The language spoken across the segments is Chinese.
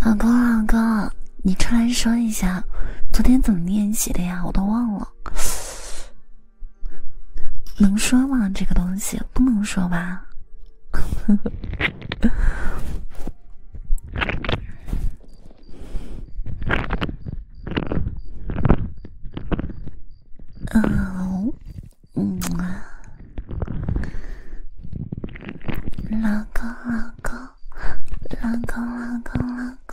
老公，老公，你出来说一下，昨天怎么练习的呀？我都忘了，能说吗？这个东西不能说吧？嗯，嗯。老公，老公，老公，老公，老公。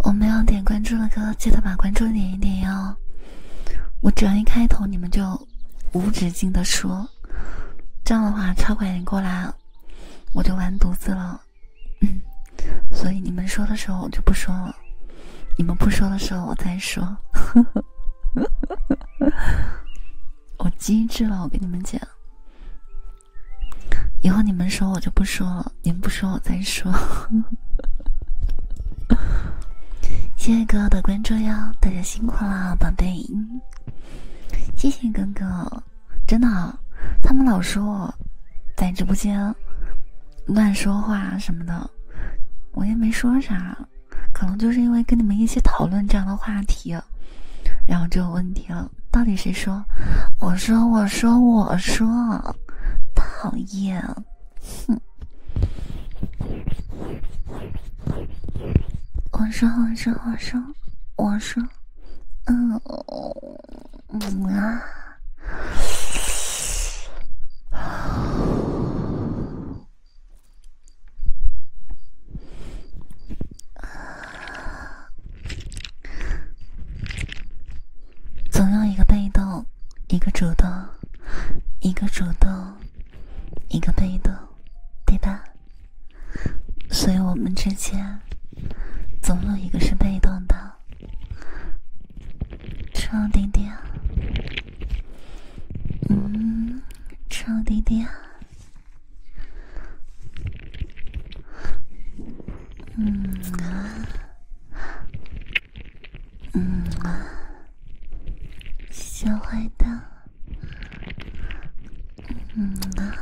我没有点关注的哥，记得把关注点一点哟。我只要一开头，你们就无止境的说，这样的话超管人过来，我就完犊子了。嗯，所以你们说的时候我就不说了，你们不说的时候我再说。我机智了，我跟你们讲。以后你们说我就不说了，你们不说我再说。谢谢哥哥的关注哟，大家辛苦了，宝贝。谢谢哥哥，真的。他们老说在直播间乱说话什么的，我也没说啥，可能就是因为跟你们一起讨论这样的话题，然后就有问题了。到底谁说？我说，我说，我说，讨厌！哼！我说，我说，我说，我说，嗯，嗯啊！总有一个被动，一个主动，一个主动，一个被动，对吧？所以我们之间总有一个是被动的，臭弟弟，嗯，臭弟弟。嗯啊，嗯啊，小坏蛋，嗯啊。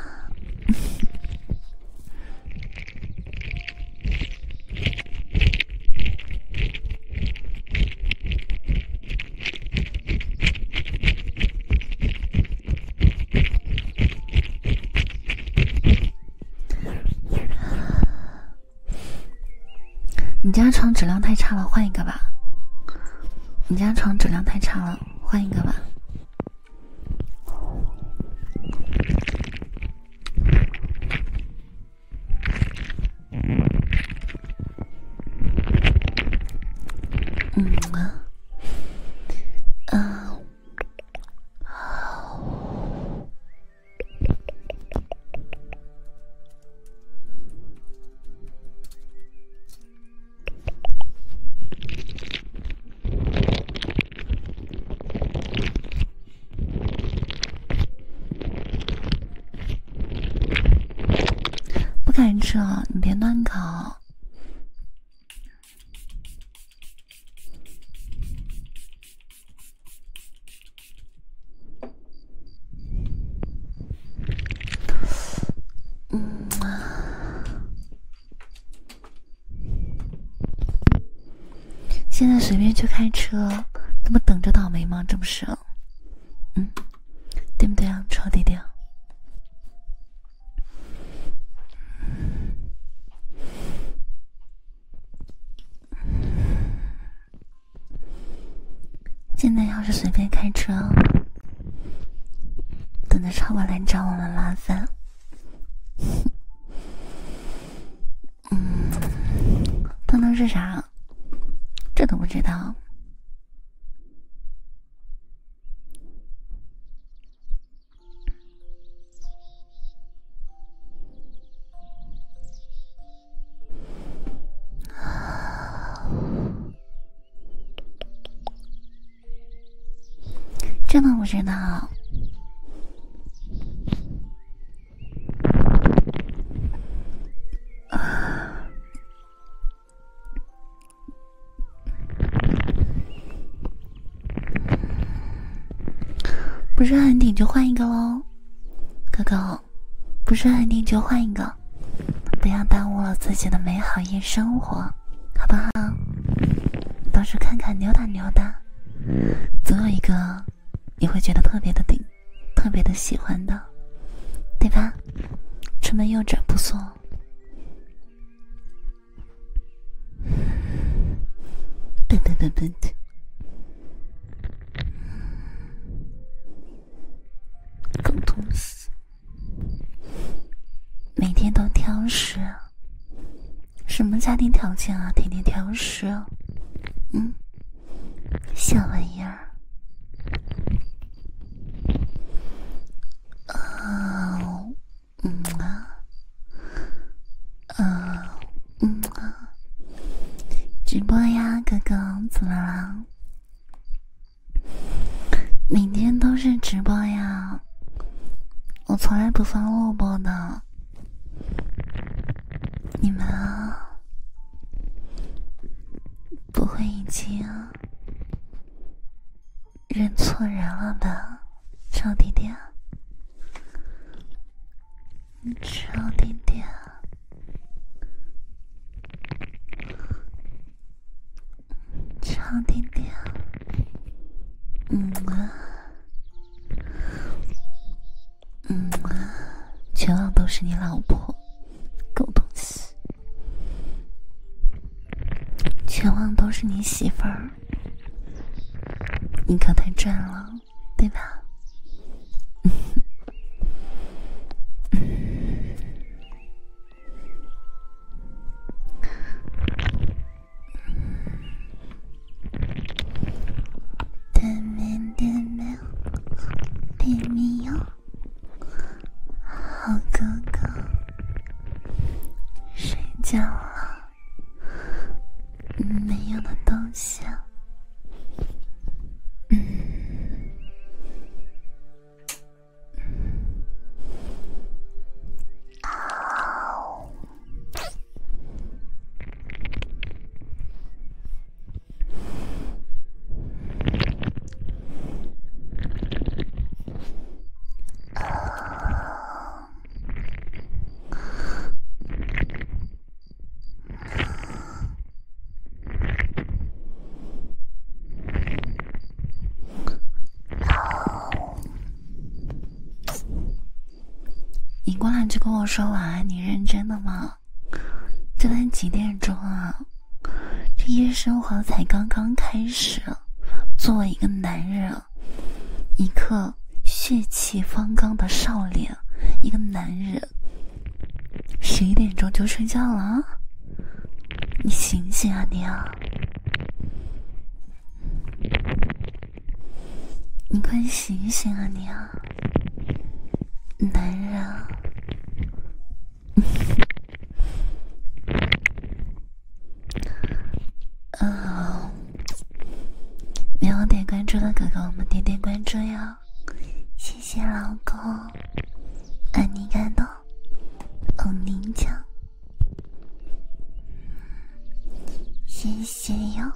你家床质量太差了，换一个吧。你家床质量太差了，换一个吧。嗯嗯。不敢吃了，你别乱搞。嗯啊，现在随便去开车，那不等着倒霉吗？这不是，嗯，对不对啊，臭弟弟？现在要是随便开车，等着超过来找我们麻烦。嗯，他能是啥？这都不知道。真的不知道。不是很顶就换一个喽，哥哥，不是很顶就换一个，不要耽误了自己的美好夜生活，好不好？到处看看，溜达溜达，总有一个你会觉得特别的顶，特别的喜欢的，对吧？出门右转，不错。笨笨笨笨的，狗东每天都挑食，什么家庭条件啊？天天挑食，嗯，小玩意儿，嗯啊，呃，嗯啊，直播呀，哥哥，怎么了？每天都是直播呀，我从来不放录播的。你们不会已经认错人了吧？臭弟弟，臭弟弟，臭弟弟，嗯啊，嗯啊，全网都是你老婆，狗东西，全网都是你媳妇儿。你可太赚了，对吧？好哥哥，睡觉了。没用的东西。嗯。啊。啊。好，尹光兰，就跟我说晚安，你认真的吗？这才几点钟啊？这夜生活才刚刚开始，作为一个男人。一个血气方刚的少年，一个男人，十一点钟就睡觉了？你醒醒啊你啊！你快醒醒啊你啊！男人 嗯、啊！没有点关注的哥哥，我们点点关注哟！谢谢老公，爱你感动，哦您讲，谢谢哟。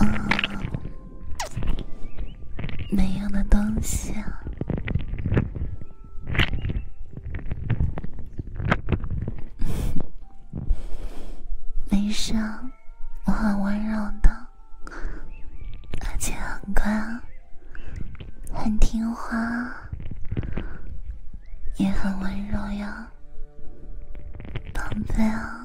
嗯。没用的东西。没事，我很温柔的，而且很乖，很听话，也很温柔呀，宝贝啊。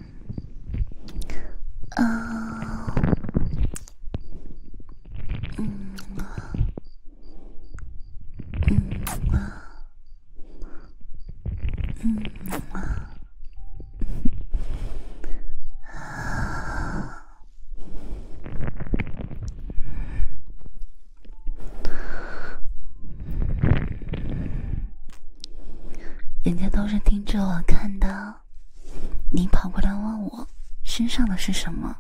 嗯啊，嗯啊，嗯啊，嗯啊，啊。人家都是盯着我看的，你跑过来问我身上的是什么？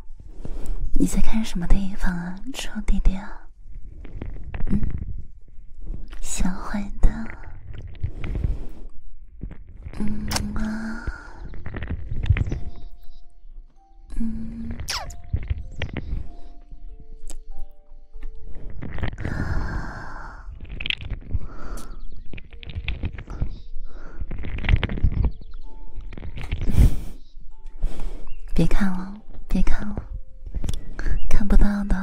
你在看什么地方啊，臭弟弟啊？嗯，小坏蛋。嗯啊，嗯。别看了，别看了，看不到的，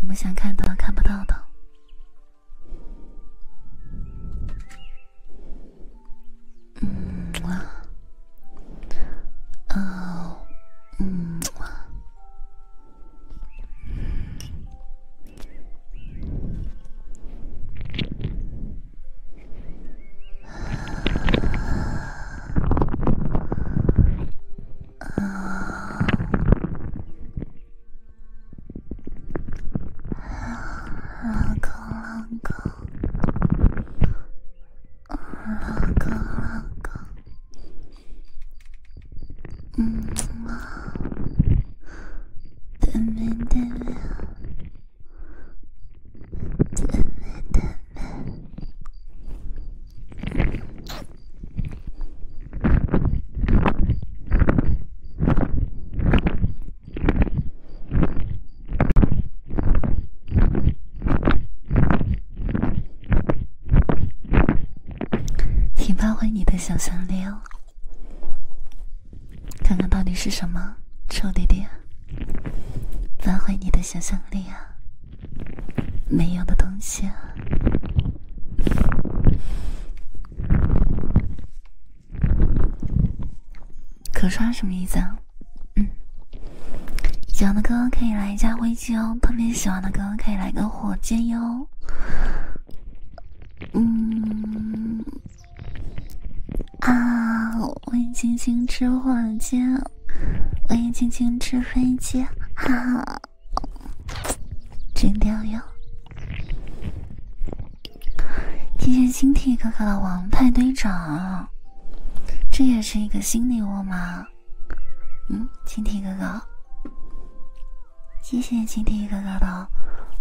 你们想看的看不到的，嗯啊。哦，嗯，啊啊啊！够了够！老公，老公，嗯啊，咱们，咱们，咱们，咱们。请发挥你的想象力哦，看看到底是什么臭弟弟？发挥你的想象力啊，没用的东西啊！可刷什么意思啊？嗯。喜欢的哥可以来一下飞机哦，特别喜欢的哥可以来个火箭哟。嗯啊，也轻轻吃火箭，也轻轻吃飞机，哈哈，真屌哟！谢谢星体哥哥的王牌队长，这也是一个新礼物吗？嗯，青提哥哥，谢谢青提哥哥的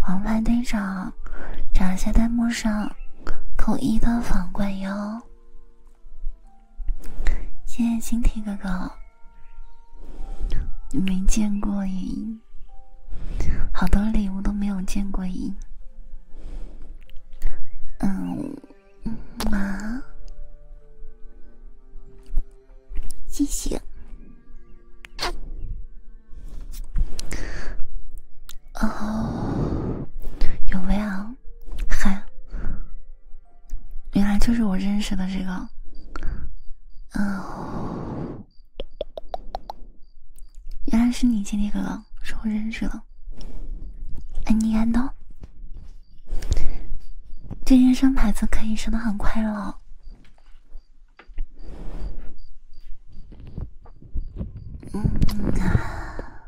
王牌队长，长下弹幕上，扣一的皇冠哟。谢谢青提哥哥，你没见过瘾，好多礼物都没有见过瘾。嗯。嗯嘛，谢谢。哦，有没有？嗨，原来就是我认识的这个。哦，原来是你，金利哥哥，是我认识的。哎，你看动？这人生牌子可以说的很快乐。嗯啊，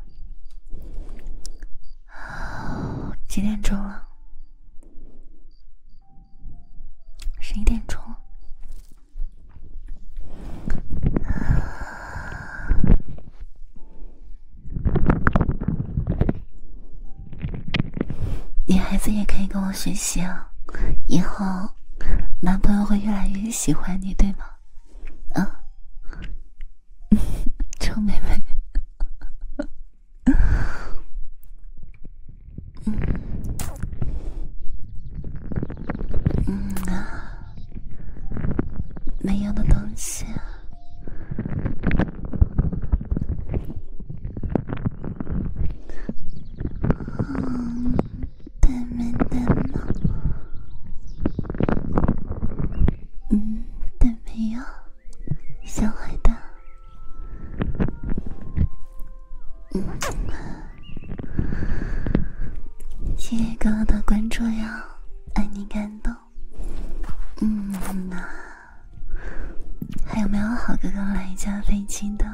几点钟了？十一点钟。女孩子也可以跟我学习啊！以后男朋友会越来越喜欢你，对吗？嗯，臭妹妹，嗯嗯啊，没用的东西。嗯，对没得吗？嗯，对没有，小坏蛋。嗯，谢谢刚刚的关注呀，爱你感动。嗯呐，还有没有好哥哥来一架飞机的，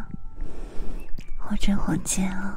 或者火箭哦？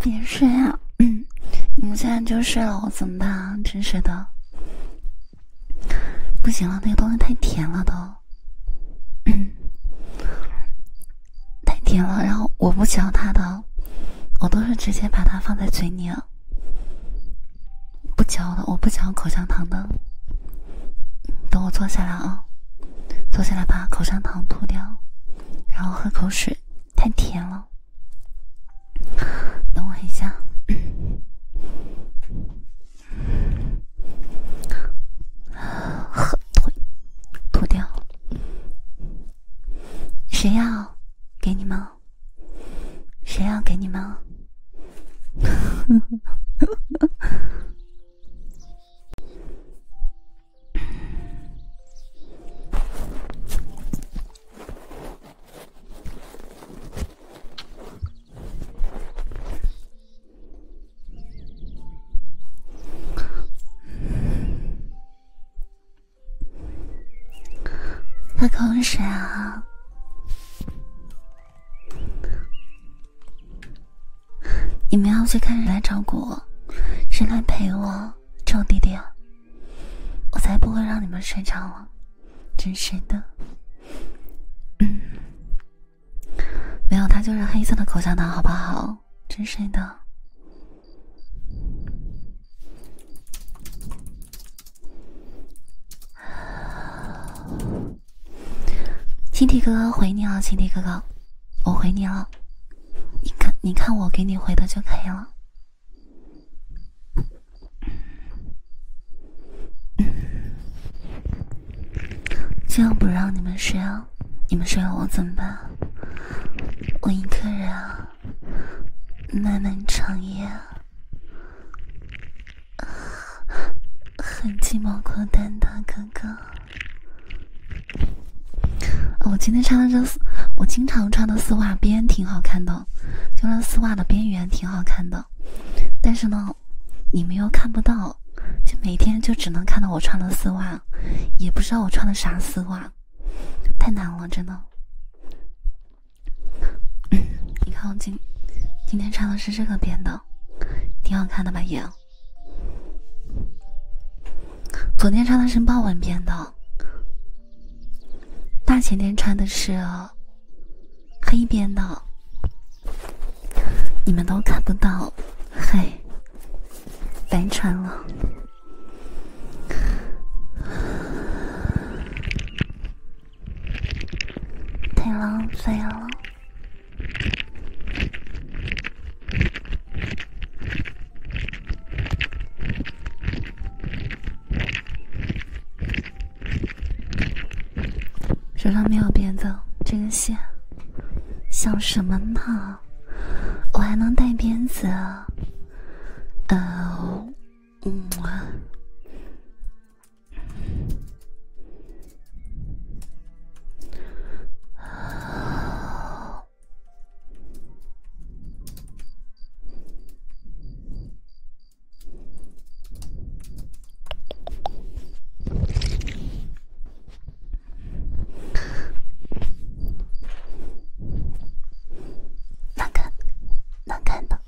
别睡啊！你们现在就睡了，我怎么办啊？真是的，不行了，那个东西太甜了都，嗯，太甜了。然后我不嚼它的，我都是直接把它放在嘴里，不嚼的，我不嚼口香糖的。等我坐下来啊，坐下来把口香糖吐掉，然后喝口水，太甜了。等我一下，喝吐，吐掉。谁要给你们？谁要给你们？喝口水啊！你们要去看谁来照顾我，谁来陪我臭弟弟？我才不会让你们睡着了，真是的。嗯，没有，他就是黑色的口香糖，好不好？真是的。青提哥哥回你了，青提哥哥。我回你了，你看，你看我给你回的就可以了。嗯，今晚不让你们睡啊，你们睡我怎么办？我一个人啊，漫漫长夜啊，很寂寞孤单的哥哥。我今天穿的这丝，我经常穿的丝袜边挺好看的，就那丝袜的边缘挺好看的。但是呢，你们又看不到，就每天就只能看到我穿的丝袜，也不知道我穿的啥丝袜，太难了，真的。你看我今今天穿的是这个边的，挺好看的吧，也。昨天穿的是豹纹边的，大前天穿的是黑边的，你们都看不到，嘿，白穿了，太浪费了。手上没有鞭子，这根线想什么呢？我还能带鞭子？嗯，嗯。能看，能看到，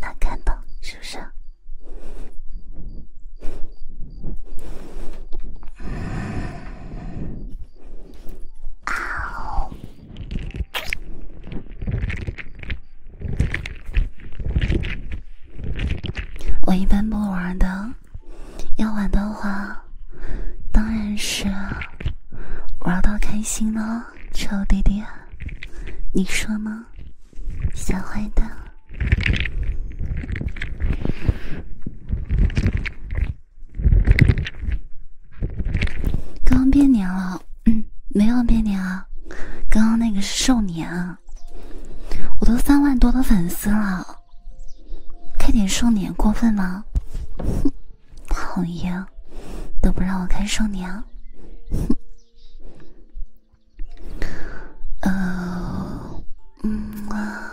能看到，是不是？我一般不玩的，要玩的话，当然是玩到开心了，臭弟弟，你说呢，小坏蛋？刚变年了，嗯，没有变年啊。刚刚那个是寿年啊。我都三万多的粉丝了，开点寿年过分吗？讨厌，都不让我开寿年。嗯，嗯啊。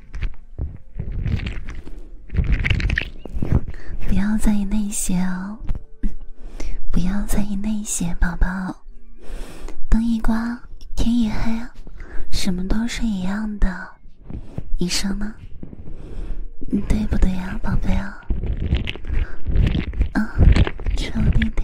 不要在意那些哦，不要在意那些，宝宝。灯一关，天一黑，什么都是一样的，你说呢？对不对呀，宝贝啊？啊，臭弟弟。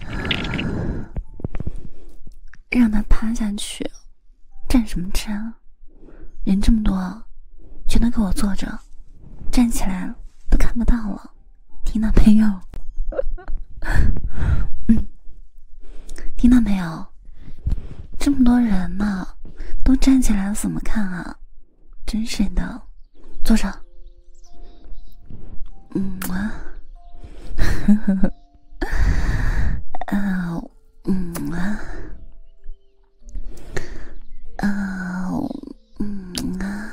让他趴下去，站什么站？人这么多，全都给我坐着，站起来都看不到了。听到没有？嗯，听到没有？这么多人呢，都站起来了，怎么看啊？真是的。坐上，嗯啊，呵呵呵，啊，嗯啊，啊，嗯啊，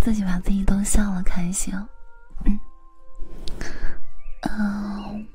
自己把自己都笑了，开心，嗯，嗯。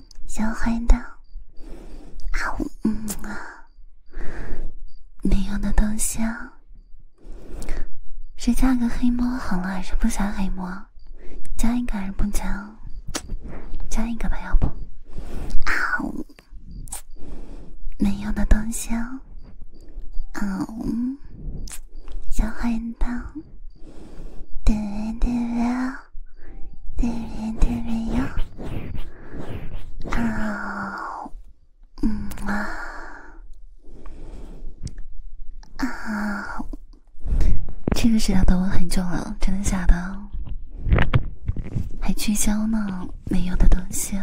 小坏蛋，啊呜，没用的东西啊！是加个黑猫好了，还是不加黑猫？加一个还是不加？加一个吧，要不啊呜，没用的东西啊，啊呜，小坏蛋。这个石头等我很久了，真的假的？还聚焦呢？没有的东西，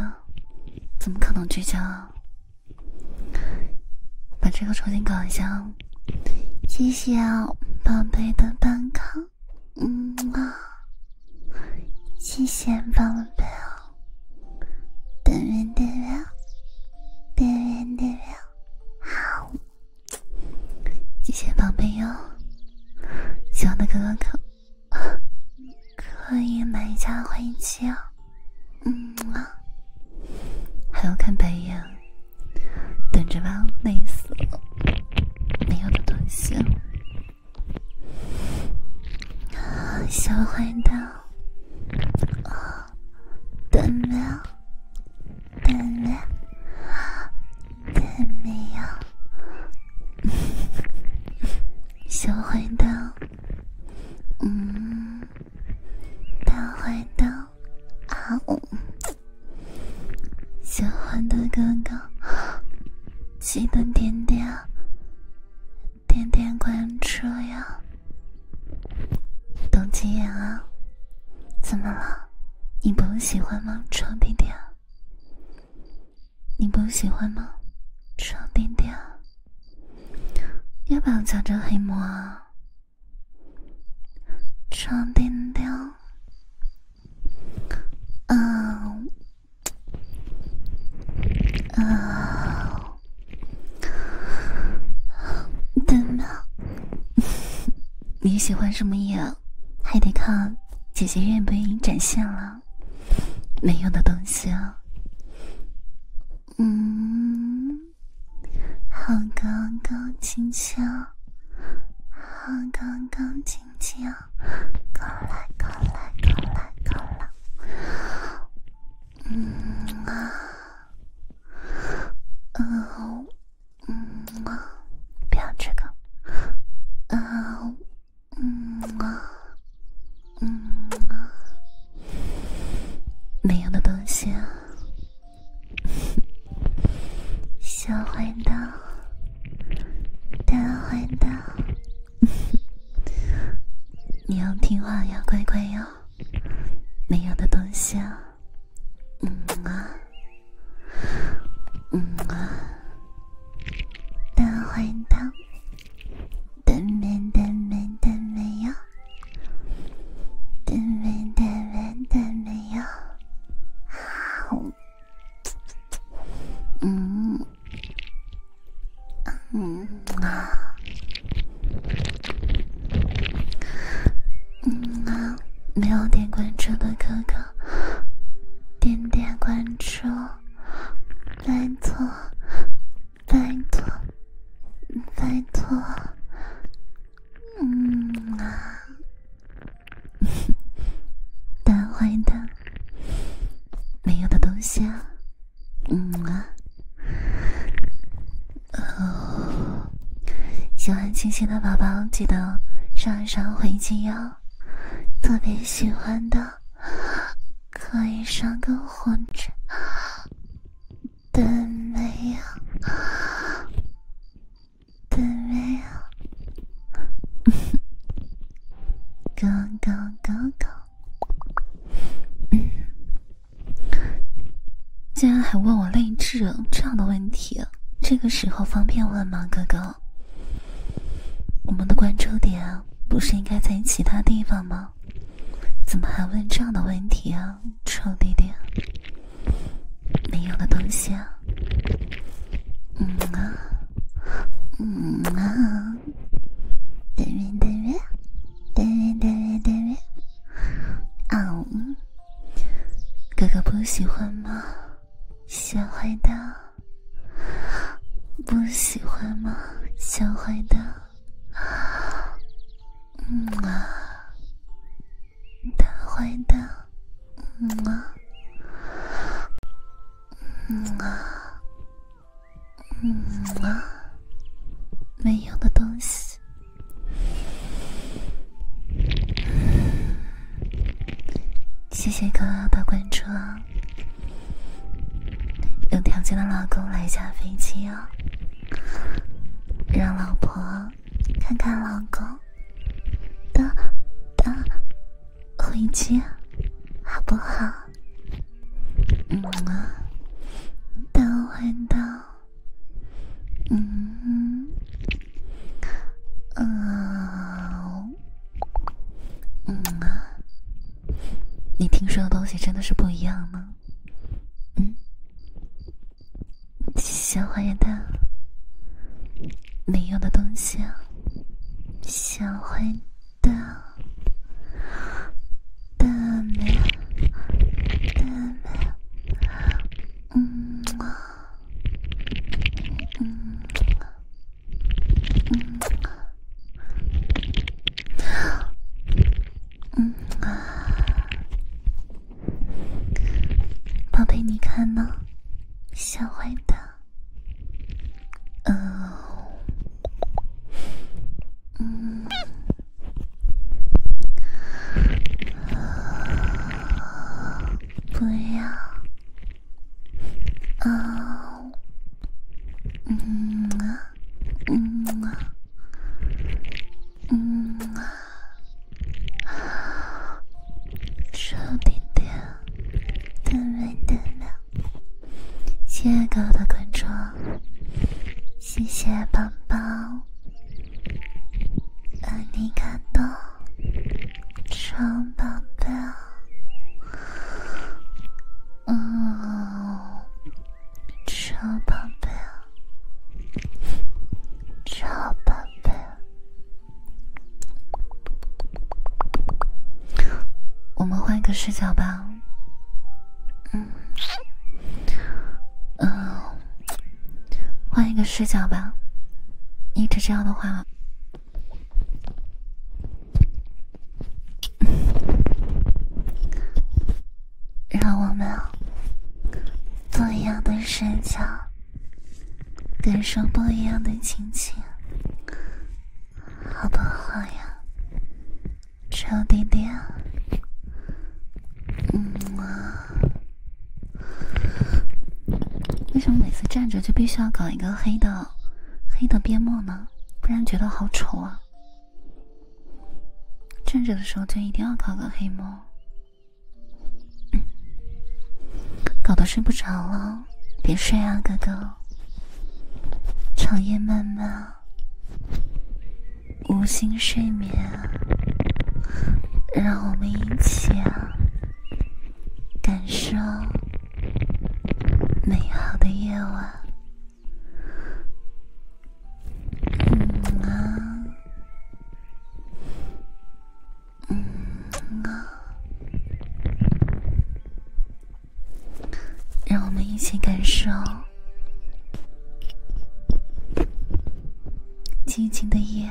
怎么可能聚焦？把这个重新搞一下。谢谢啊，宝贝的蛋糕，嗯啊，谢谢宝贝哦。点面点面，点面点面，好，谢谢宝贝哟，喜欢的哥哥可可以买一架欢迎机哦，嗯啊，还要看白眼。等着吧，累死了，没有的东西。小坏蛋，啊，等没有，都没有，都没有。小坏蛋，嗯，大坏蛋。啊呜！喜欢的哥哥，记得点点点点关注呀！都几眼啊？怎么了？你不喜欢吗，臭弟弟？你不喜欢吗，臭弟弟？要不要加个黑魔啊？上点料，嗯、啊，怎么？你喜欢什么呀？还得看姐姐愿不愿意展现了。没用的东西啊。嗯。好高高清清，好高高清清，过来过来过来过来，嗯啊，嗯，嗯啊，不要这个，啊，嗯啊，嗯啊，没用的东西啊。小坏蛋，大坏蛋，你要听话要乖乖哟。没有的东西啊，嗯啊，嗯啊，大坏蛋，对面，对面，对面呀。对没对没对没有，好，嗯嗯啊，嗯啊，没有点关注的哥哥，点点关注，拜托，拜托，拜托。嗯啊，大坏的，没用的东西啊，嗯啊，哦，喜欢亲亲的宝宝记得上上回精哟，特别喜欢的可以上个火车。都没有，都没有，哥哥哥哥，嗯，竟然还问我泪痣这样的问题？这个时候方便问吗，哥哥？我们的关注点不是应该在其他地方吗？怎么还问这样的问题啊，臭弟弟？没用的东西。啊。嗯啊，嗯啊，对面对面，对面对面对面。啊，哥哥不喜欢吗？小坏蛋，不喜欢吗？小坏蛋。嗯啊。大坏蛋，嗯啊，嗯啊，嗯啊，没用的东西。谢谢哥的关注，有条件的老公来一下飞机哦，让老婆。看看老公，等等回去好不好？嗯啊，等会的，嗯嗯啊，嗯啊，你听说的东西真的是不一样吗？嗯。小坏蛋，没用的东西，小坏蛋，的没的没，嗯啊，嗯啊，嗯啊，嗯啊。宝贝，你看吗？小坏蛋，呃，嗯，不要，啊，嗯啊，嗯啊，嗯啊。啊！兄弟们，姐亮。谢谢亲爱的关注，谢谢宝宝，爱你感动，超宝贝嗯，超宝贝超宝。对，我们换一个视角吧。嗯，嗯，换一个视角吧。一直这样的话，让我们做一样的视角。感受不一样的心情，好不好呀？臭点点，嗯啊。为什么每次站着就必须要搞一个黑的黑的边墨呢？不然觉得好丑啊！站着的时候就一定要搞个黑墨。搞得睡不着了，别睡啊，哥哥。长夜漫漫，无心睡眠，让我们一起感受美好的夜晚，嗯啊。嗯啊，让我们一起感受寂静的夜。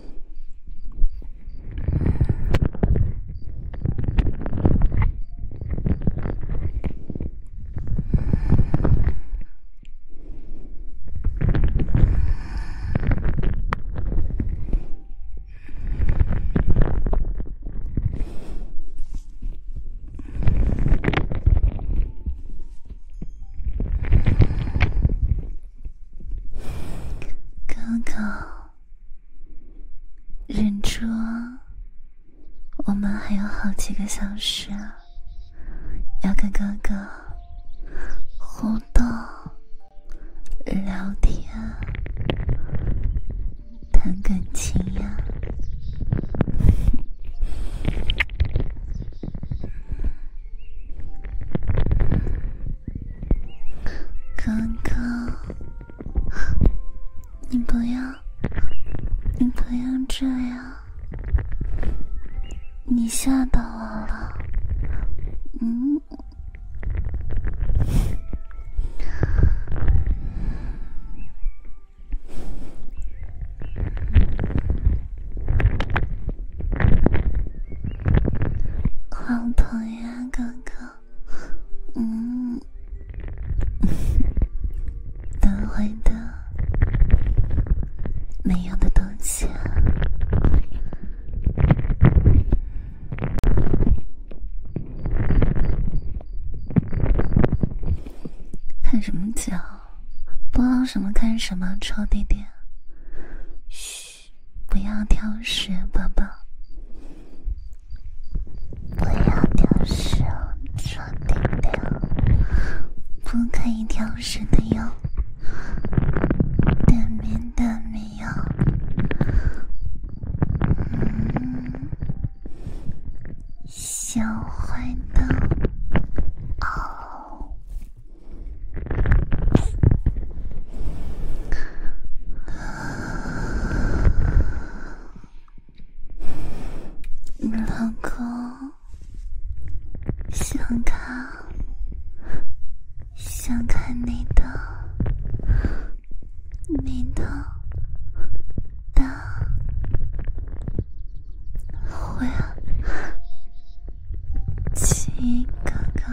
哥哥。忍住，我们还有好几个小时，要跟哥哥互动、聊天、谈感情呀。哥哥，你不要，你不要这样，你吓到我了，嗯，好疼呀，哥哥。嗯，都 会的，没有的东西。看什么脚？播放什么？看什么？臭弟弟，嘘。不要挑食，宝宝，不要挑食哦，床顶的，不可以挑食的哟，蛋面蛋面哟，小坏蛋，哦。老公，想看，想看你的，你的，的，会啊，亲哥哥。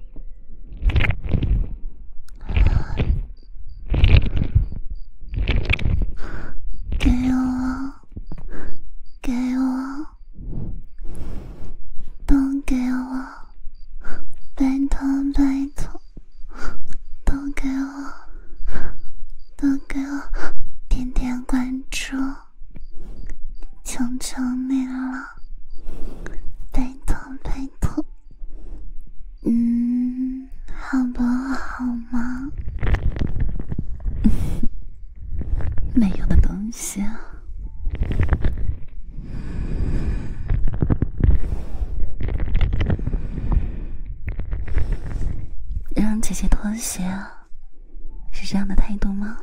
给我，给我，都给我，拜托拜托，都给我，都给我，点点关注。求求你了，拜托拜托，嗯，好不好吗？没用的东西啊！让姐姐妥协，是这样的态度吗？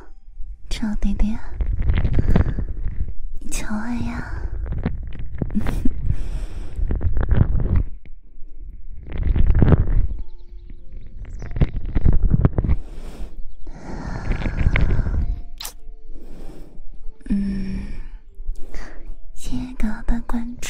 赵弟弟，乔安呀，嗯，谢谢哥位的关注。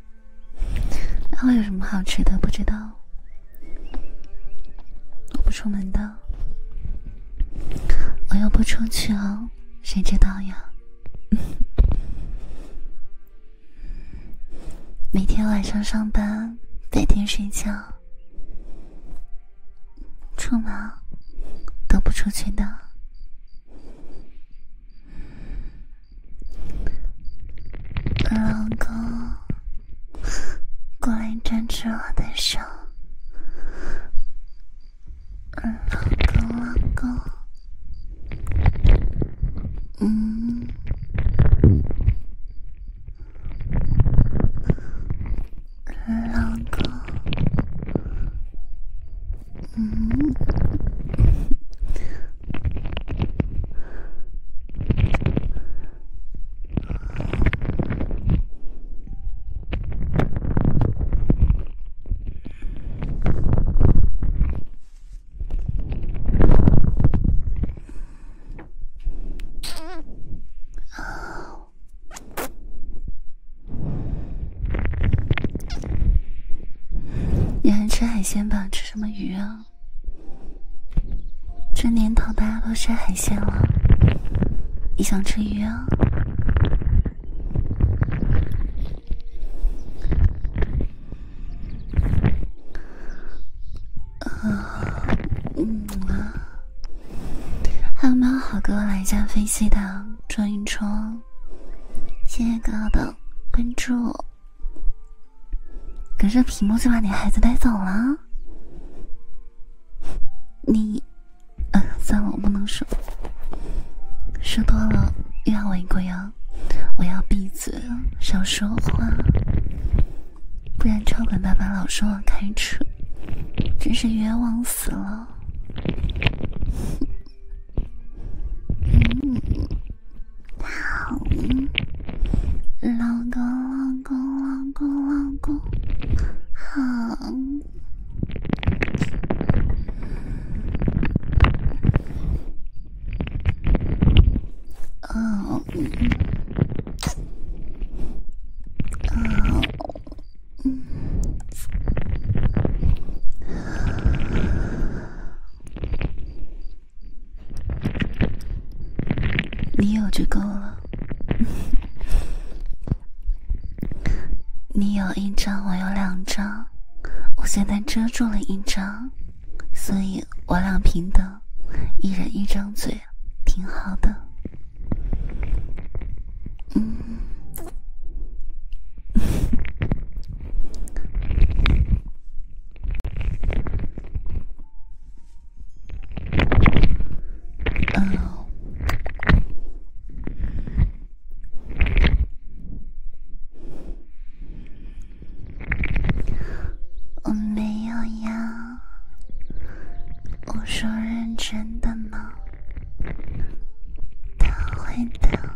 然后有什么好吃的不知道，我不出门的，我又不出去哦，谁知道呀？每天晚上上班，白天睡觉，出门都不出去的。老公，过来一沾着我的手，老公，老公，嗯，老公，嗯。你还吃海鲜吧？吃什么鱼啊？这年头大家都吃海鲜了，你想吃鱼啊？啊，嗯啊，还有没有好哥来一架飞机的专一车？谢谢哥哥的关注。可是屏幕就把你孩子带走了，你……嗯，算了，我不能说，说多了又要违规啊！我要闭嘴，少说话，不然超管爸爸老说我开车，真是冤枉死了。好，老公，老公，老公，老公，好，哦，哦，嗯。你有就够了。你有一张，我有两张，我现在遮住了一张，所以我俩平等，一人一张嘴，挺好的。嗯。哦，我没有呀，我说认真的呢，他会的，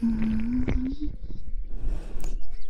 嗯。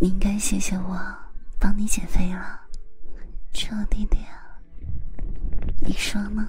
你应该谢谢我帮你减肥了，瘦了点，你说呢？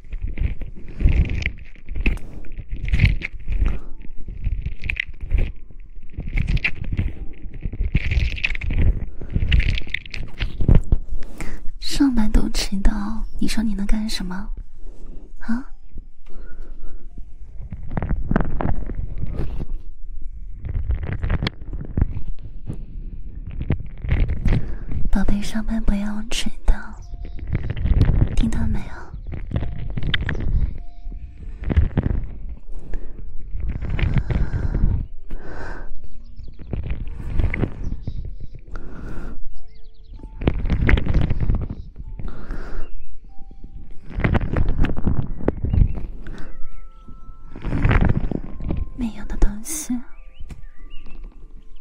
上班都迟到，你说你能干什么？啊？宝贝，上班不要迟到，听到没有？没有的东西。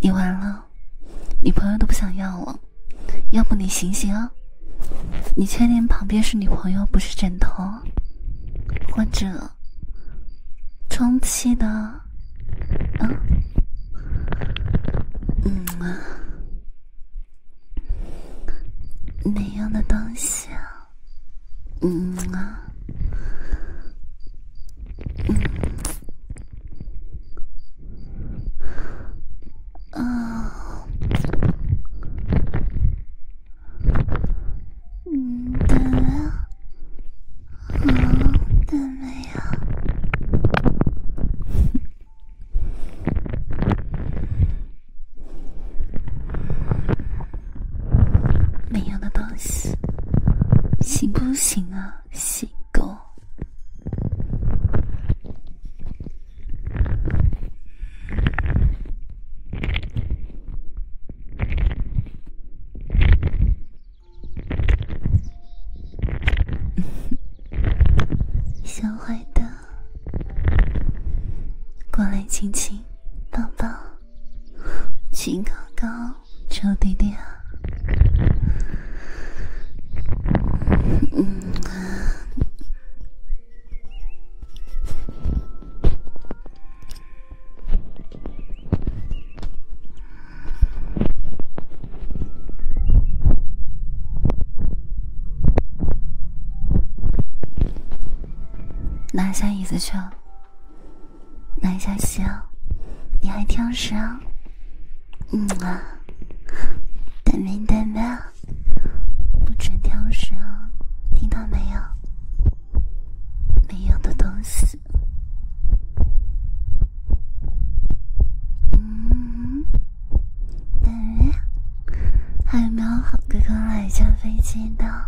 你完了，女朋友都不想要了，要不你醒醒啊？你确定旁边是女朋友不是枕头，或者充气的？嗯，嗯啊，没用的东西啊。嗯啊，嗯，啊，嗯的，好的没有。没用的东西，行不行啊，小狗？小坏蛋，过来亲亲，抱抱。亲 高高，臭弟弟啊！嗯，拿下椅子去一小行。你还挑食啊？嗯啊，得名得命，不准挑食啊！听到没有？没用的东西。嗯，等。还有没有好哥哥来下飞机的？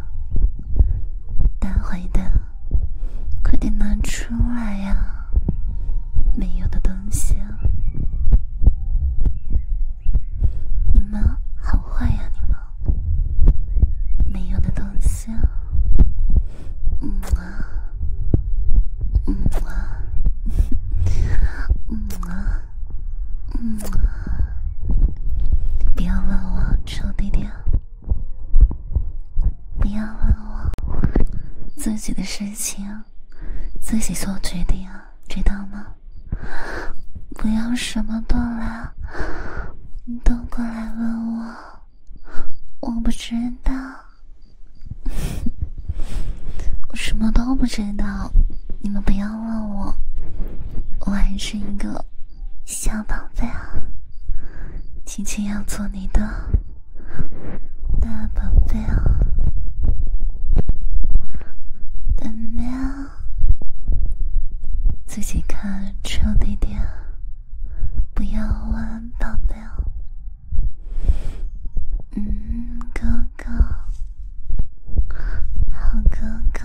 待会的，快点拿出来呀！没有的东西，你们好坏呀你们！没有的东西，嗯啊，嗯啊，嗯啊。嗯，不要问我，臭弟弟。不要问我自己的事情，自己做决定，知道吗？不要什么都来，都过来问我，我不知道，我什么都不知道，你们不要。要问我，我还是一个小宝贝啊，今天要做你的大宝贝啊，宝宝，自己开车地点，不要问宝贝哦，嗯，哥哥，好哥哥。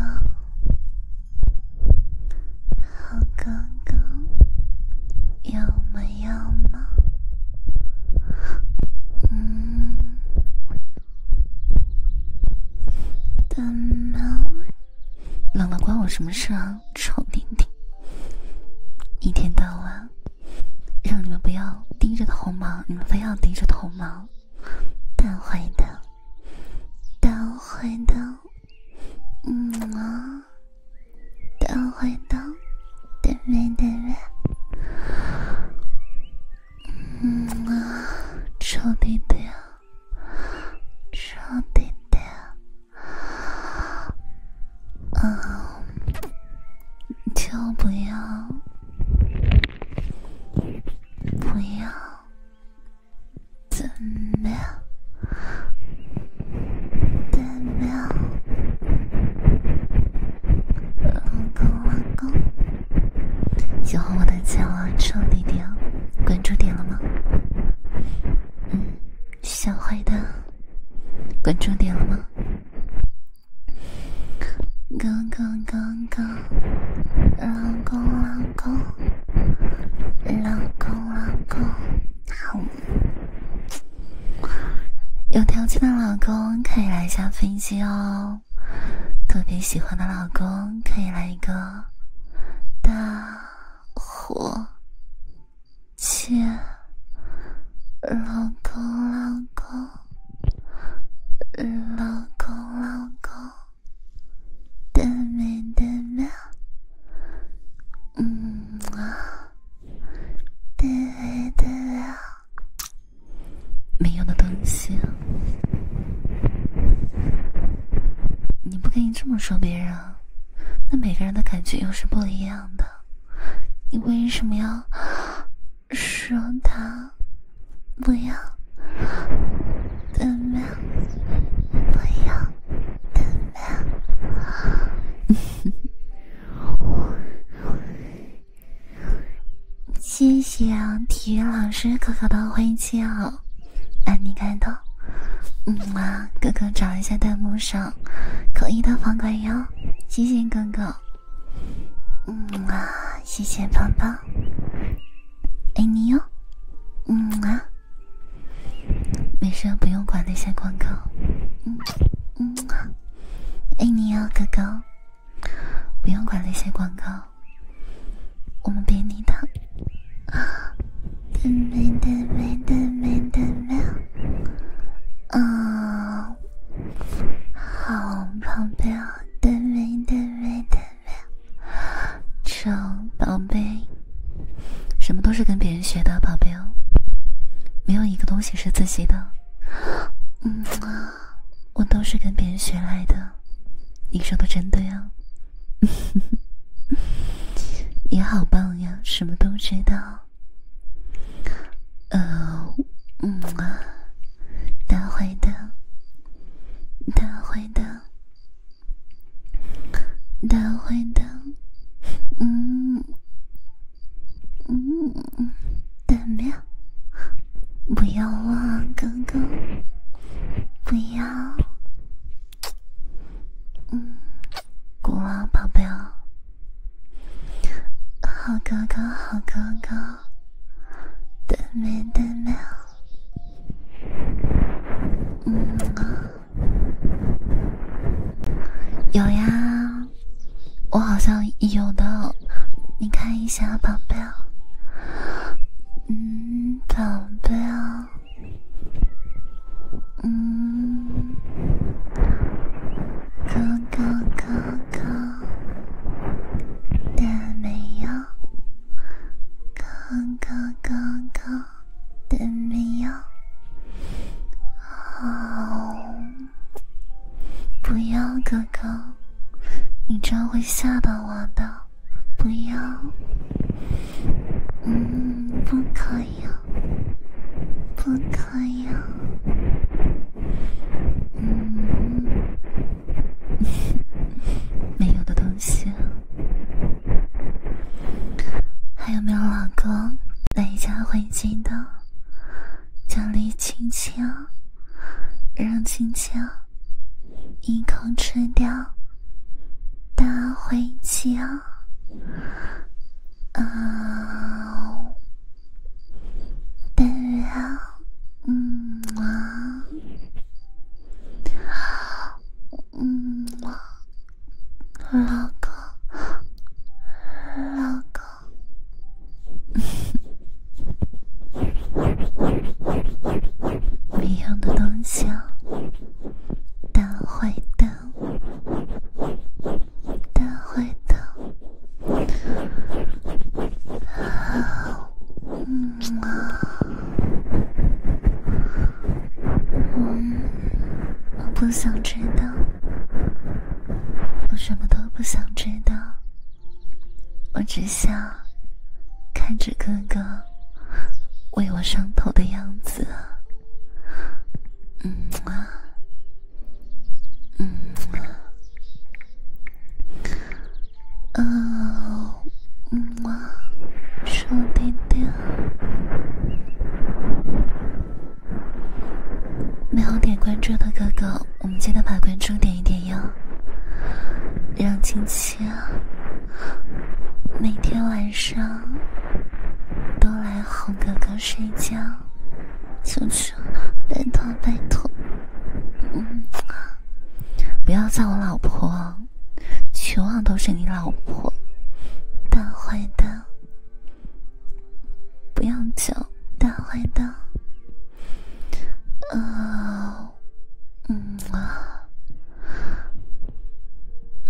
好尴尬，有没有吗？嗯，怎么冷了？关我什么事啊，臭弟弟！一天到晚让你们不要低着头忙，你们非要低着头忙。大坏蛋，大坏蛋，嗯啊，大坏蛋，对不对？对不对？嗯啊，臭弟弟，臭弟弟，嗯，就不要，不要。怎么样？怎么样？老公，老公，喜欢我的叫我臭弟弟哦。关注点了吗？小坏蛋，关注点了吗？刚刚，刚刚。老公，老公，老公，老公，有条件的老公可以来下飞机哦，特别喜欢的老公可以来一个大火气，老公，老公，老公，老公。特别的吗？嗯啊，特别的吗？没用的东西，你不可以这么说别人。那每个人的感觉又是不一样的，你为什么要 说他？不要，怎么不要，怎么谢啊，体育老师哥哥的欢迎啊，爱你开的，嗯啊，哥哥找一下弹幕上扣一的房管哟，谢谢哥哥，嗯啊，谢谢胖胖。爱你哟，嗯啊，没事，不用管那些广告，嗯嗯啊，爱你哟，哥哥，不用管那些广告，我们别离的啊，没的没的没的没，啊，好，旁边没的没的。是啊，宝贝，什么都是跟别人学的，宝贝哦，没有一个东西是自己的。嗯，我都是跟别人学来的，你说的真对啊。你 好棒呀，什么都知道。呃，嗯啊，大坏蛋，大坏蛋。大坏蛋，嗯嗯，对面不要啊，哥哥，不要，嗯，过来宝贝好哥哥，好哥哥，对面，对面。嗯，有呀，我好像有的，你看一下，宝贝嗯，宝贝嗯，哥哥哥哥的没有。哥哥，哥哥，都没有，好，不要哥哥，你这样会吓到我的，不要，嗯，不可以，不可以，嗯。没有的东西，还有没有老公？来一家回京的，奖励青青，让青青一口吃掉大回鸡啊！对呀，嗯啊。嗯，老公，老公，没用的东西，大坏蛋，大坏蛋。嗯啊，嗯，我不想知道，我什么都不想知道，我只想看着哥哥为我上头的样子。嗯啊，嗯啊。嗯，么，鼠弟弟，没有点关注的哥哥，我们记得把关注点一点哟，让青青每天晚上都来哄哥哥睡觉，求求，拜托拜托，嗯，不要叫我老婆。全网都是你老婆，大坏蛋！不要叫大坏蛋。呃，嗯啊，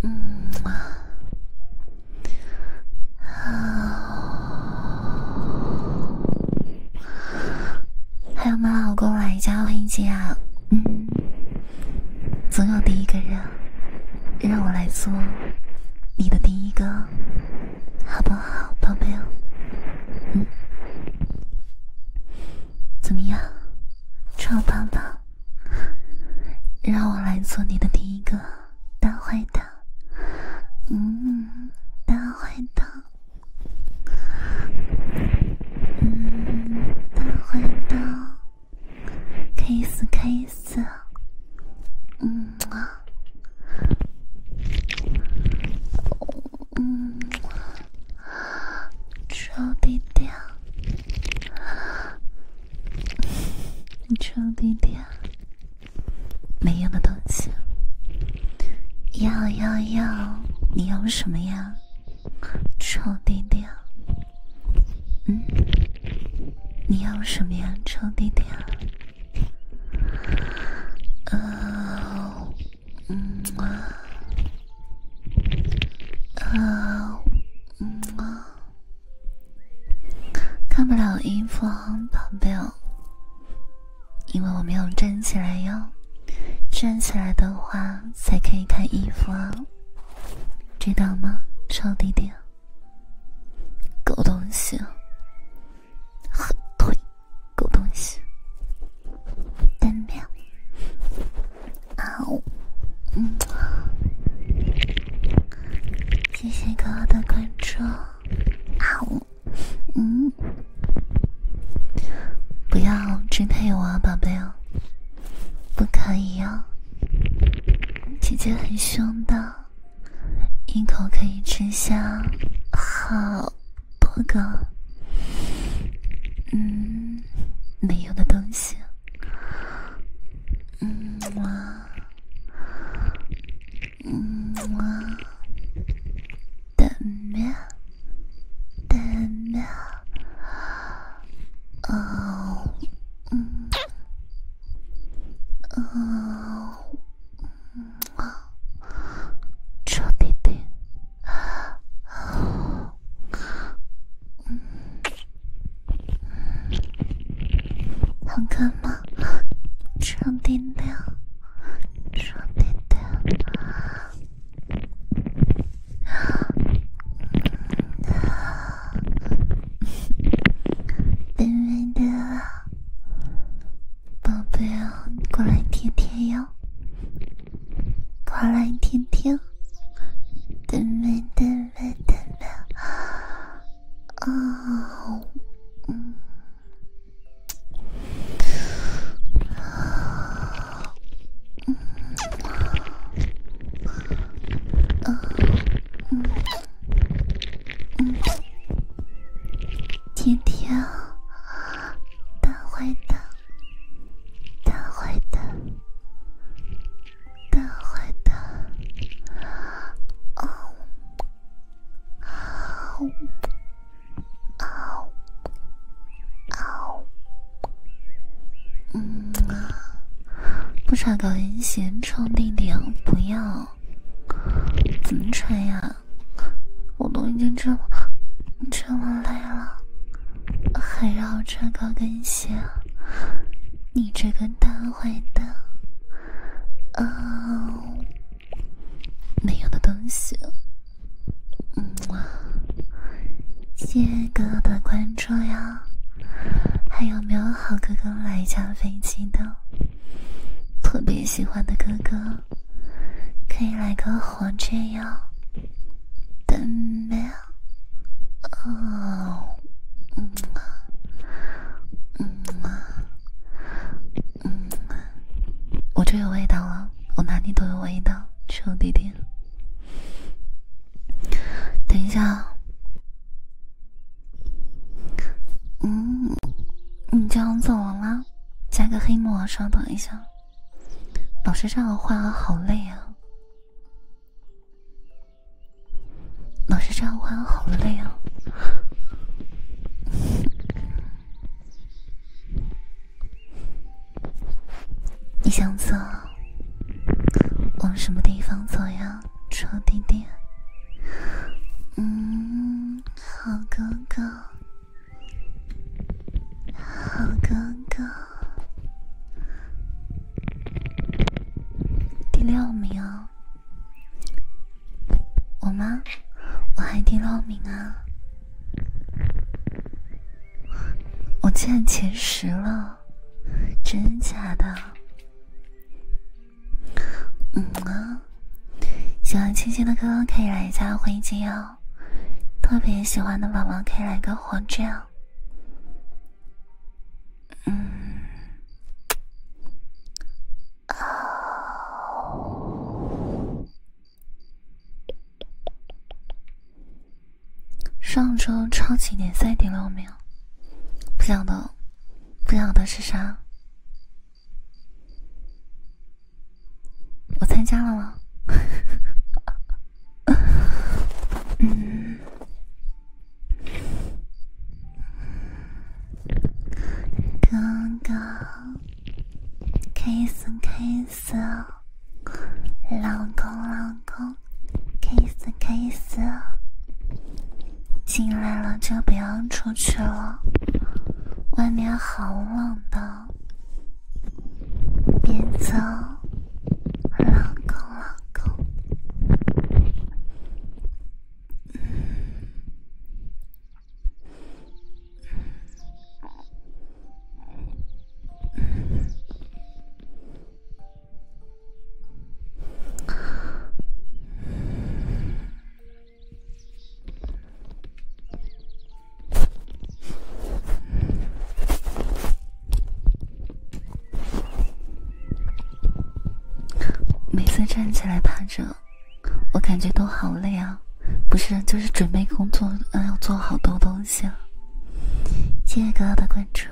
嗯啊，啊！还有没有老公来加我音阶啊？嗯，总有第一个人让我来做你的第一个，好不好，宝贝？嗯，怎么样，臭棒棒！让我来做你的第一个大坏蛋，嗯，大坏蛋。嗯，大坏蛋，可以死，可以死。嗯啊，嗯，超低调，超没用的东西，要要要，你要什么呀？臭弟弟，嗯，你要什么呀，臭弟弟？呃，嗯啊，呃，嗯啊，看不了衣服，宝贝哦，因为我没有站起来哟。站起来的话才可以看衣服啊，知道吗，臭弟弟？狗东西，好退，狗东西，单面。好，嗯，谢谢哥哥的关注。好，嗯。不要支配我啊，宝贝哦！不可以哦，姐姐很凶的，一口可以吃下好多个。嗯，没有的东西。嗯，我，嗯，我，等你。点亮，哦，嗯，哦，嗯，哇，超弟弟，哦，嗯，嗯，好看吗？超弟弟，超弟弟。对 面的，宝贝啊，过来贴贴哟，过来贴贴，对面，对面，对面，啊，嗯。嗯，嗯，嗯，嗯，天大坏蛋，大坏蛋，大坏蛋，啊，啊。啊啊！嗯啊，不穿高跟鞋，臭弟弟，不要！怎么穿呀？我都已经这么这么累了，还让我穿高跟鞋，你这个大坏蛋！啊，没用的东西！嗯谢谢哥哥的关注呀！还有没有好哥哥来一架飞机的？特别喜欢的哥哥，可以来个火箭哟！等哦，嗯啊，嗯啊，嗯嘛，我就有味道了，我哪里都有味道，臭弟弟。等一下，嗯，你样要走了吗？加个黑幕啊！稍等一下，老师这样画好累啊！老师这样画好累啊！你想走？往什么地方走呀，臭弟弟？嗯，好哥哥，好哥哥，第六名，我吗？我还第六名啊。我竟然前十了，真假的？嗯啊，喜欢青青的哥哥可以来加灰机哦，特别喜欢的宝宝可以来个火箭。啊。嗯，上周超级联赛第六名，不晓得，不晓得是啥。我参加了吗？嗯，刚刚 kiss kiss。老公，老公，kiss kiss，进来了就不要出去了，外面好冷的，别走，老公，老公。每次站起来趴着，我感觉都好累啊！不是，就是准备工作，嗯，要做好多东。行，谢谢哥哥的关注。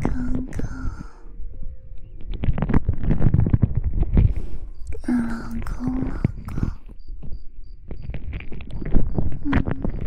刚刚，老公，老公，嗯，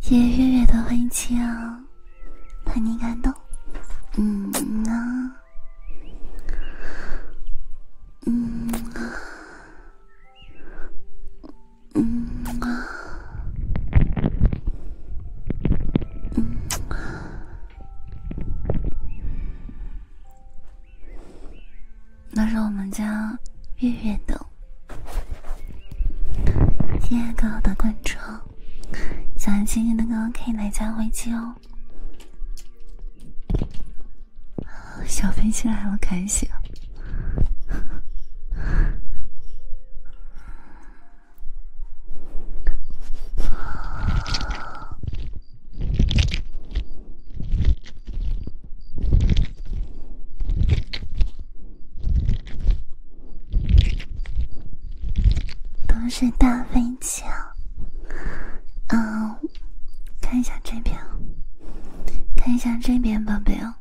谢谢月月的欢迎气怕你感动，嗯啊，嗯啊，嗯啊，嗯。那是我们家月月的，亲爱的关注，喜欢今天的歌可以来加微信哦，小飞起来了，开心。都是大飞机啊！嗯，看一下这边，看一下这边，宝贝哦，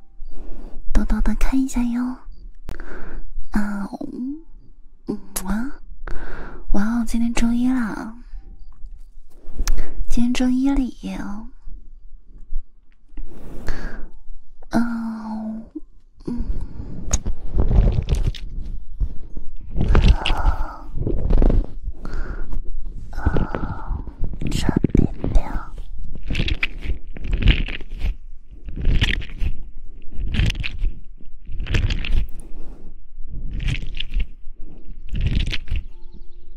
多多的看一下哟，啊，嗯哇，哇哦，今天周一了。今天周一哩，嗯，嗯，啊啊，三点亮，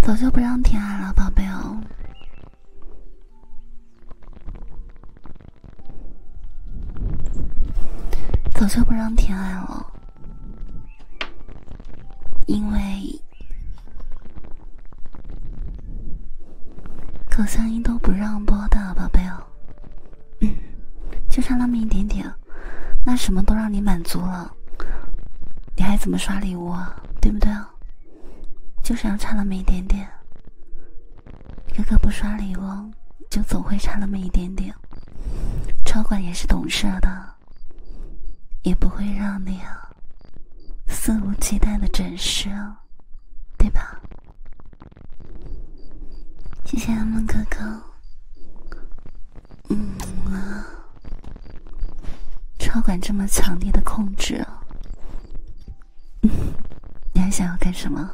早就不让甜爱了，宝贝哦！早就不让甜爱了，因为口香音都不让播的，宝贝哦。嗯，就差那么一点点，那什么都让你满足了。你还怎么刷礼物啊？对不对啊？就是要差那么一点点，哥哥不刷礼物就总会差那么一点点。超管也是懂事的，也不会让你肆无忌惮的整示，啊，对吧？谢谢阿梦哥哥。嗯啊，超管这么强烈的控制，嗯，你还想要干什么？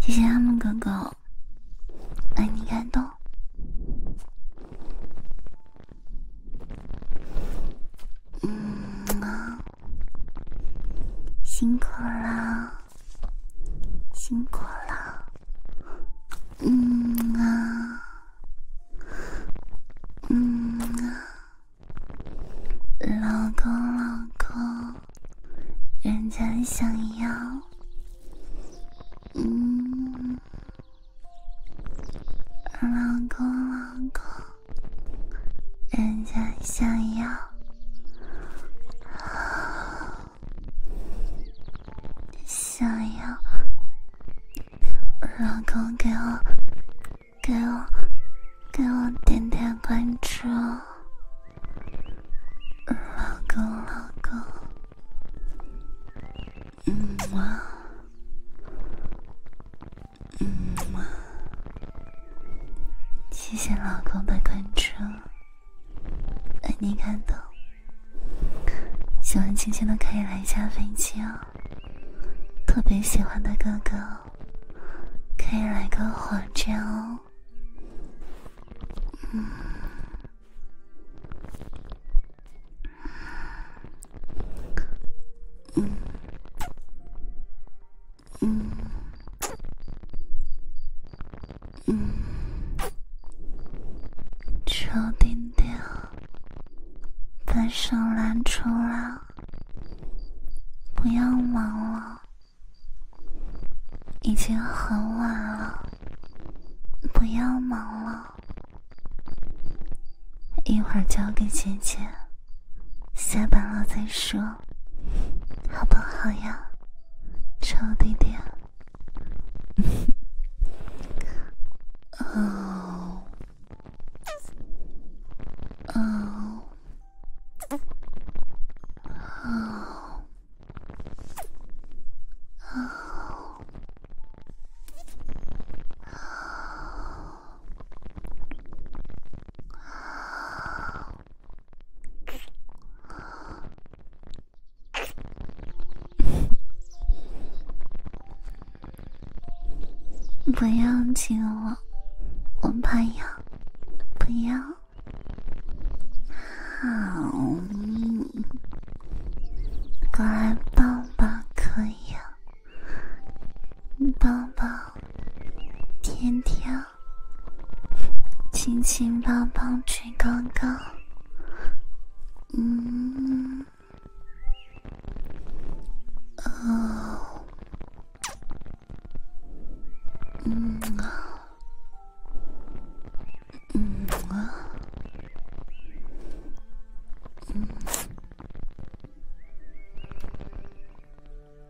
谢谢阿梦哥哥，爱你感动。嗯啊，辛苦了。辛苦了，嗯啊，嗯啊，老公老公，人家想要，嗯，老公老公，人家想要。想要老公给我给我给我点点关注，老公老公，嗯嘛谢谢老公的关注。被你感动，喜欢轻轻的可以来一架飞机哦。特别喜欢的哥哥，可以来个火箭哦。嗯，嗯。嗯嗯，小弟弟，把手拿出来，不要忙了，已经很晚了，不要忙了，一会儿交给姐姐，下班了再说。好不好呀，臭弟弟？哦哦哦哦哦。不要亲我，我怕痒。不要，好，过来抱抱可以吗？抱抱，天天。亲亲抱抱举高高，嗯，呃，嗯啊，嗯啊，嗯。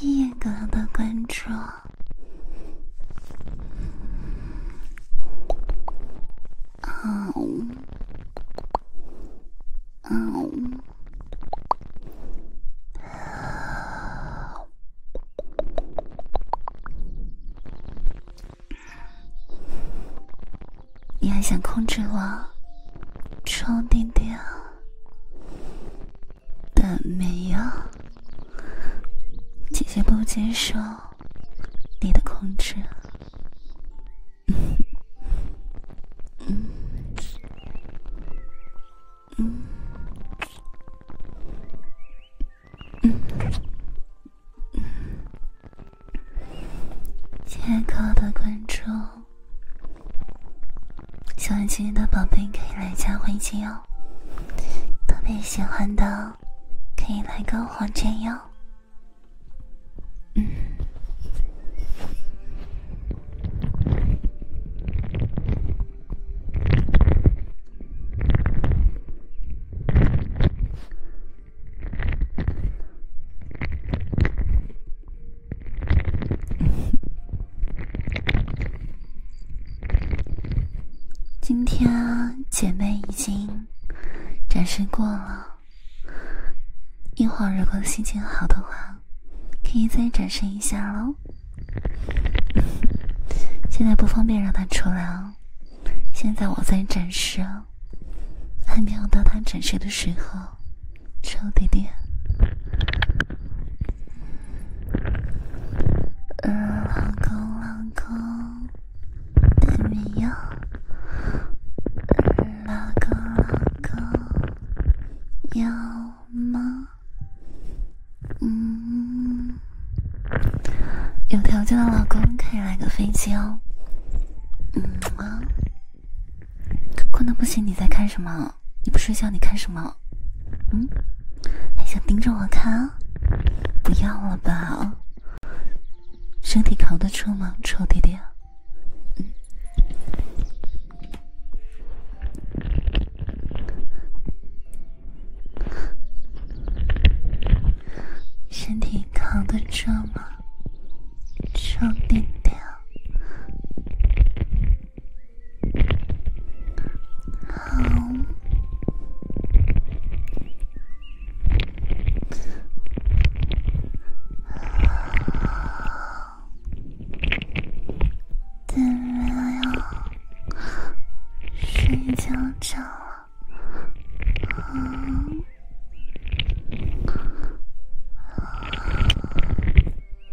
严格的控制。嗯嗯，你还想控制我，臭弟弟？但没有，姐姐不接受你的控制，嗯嗯嗯嗯嗯，借口的观众。喜欢今天的宝贝可以来加微信哦，特别喜欢的可以来个黄箭哟，嗯。今天姐妹已经展示过了，一会儿如果心情好的话，可以再展示一下喽。现在不方便让她出来哦，现在我在展示，还没有到她展示的时候。臭弟弟，嗯，老公老公，有没有？嗯，老公老公，有吗？嗯，有条件的老公可以来个飞机哦，嗯吗？困的不行，你在看什么？你不睡觉，你看什么？嗯，还想盯着我看啊？不要了吧，身体扛得住吗，臭弟弟？嗯，身体扛得住吗，臭弟弟？好，怎么样？睡觉着了？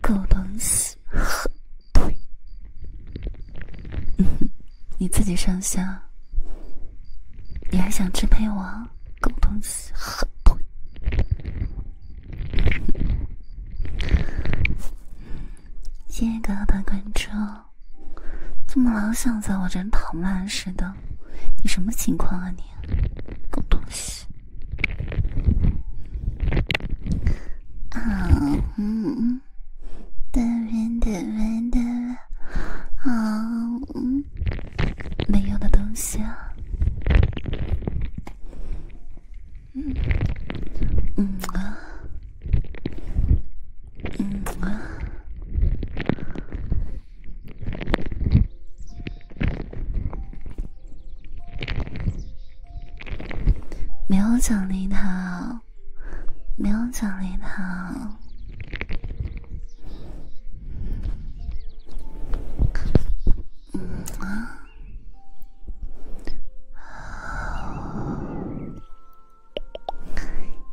狗东西，狠腿！你自己上下，你还想支配我？狗东西，狠腿！谢谢哥哥的关注，怎么老想在我这跑马似的？你什么情况啊你？狗东西！啊，嗯，对面的，对面的，啊，嗯，没用的东西啊，嗯，嗯啊，嗯啊。没有奖励他，没有奖励他。嗯啊，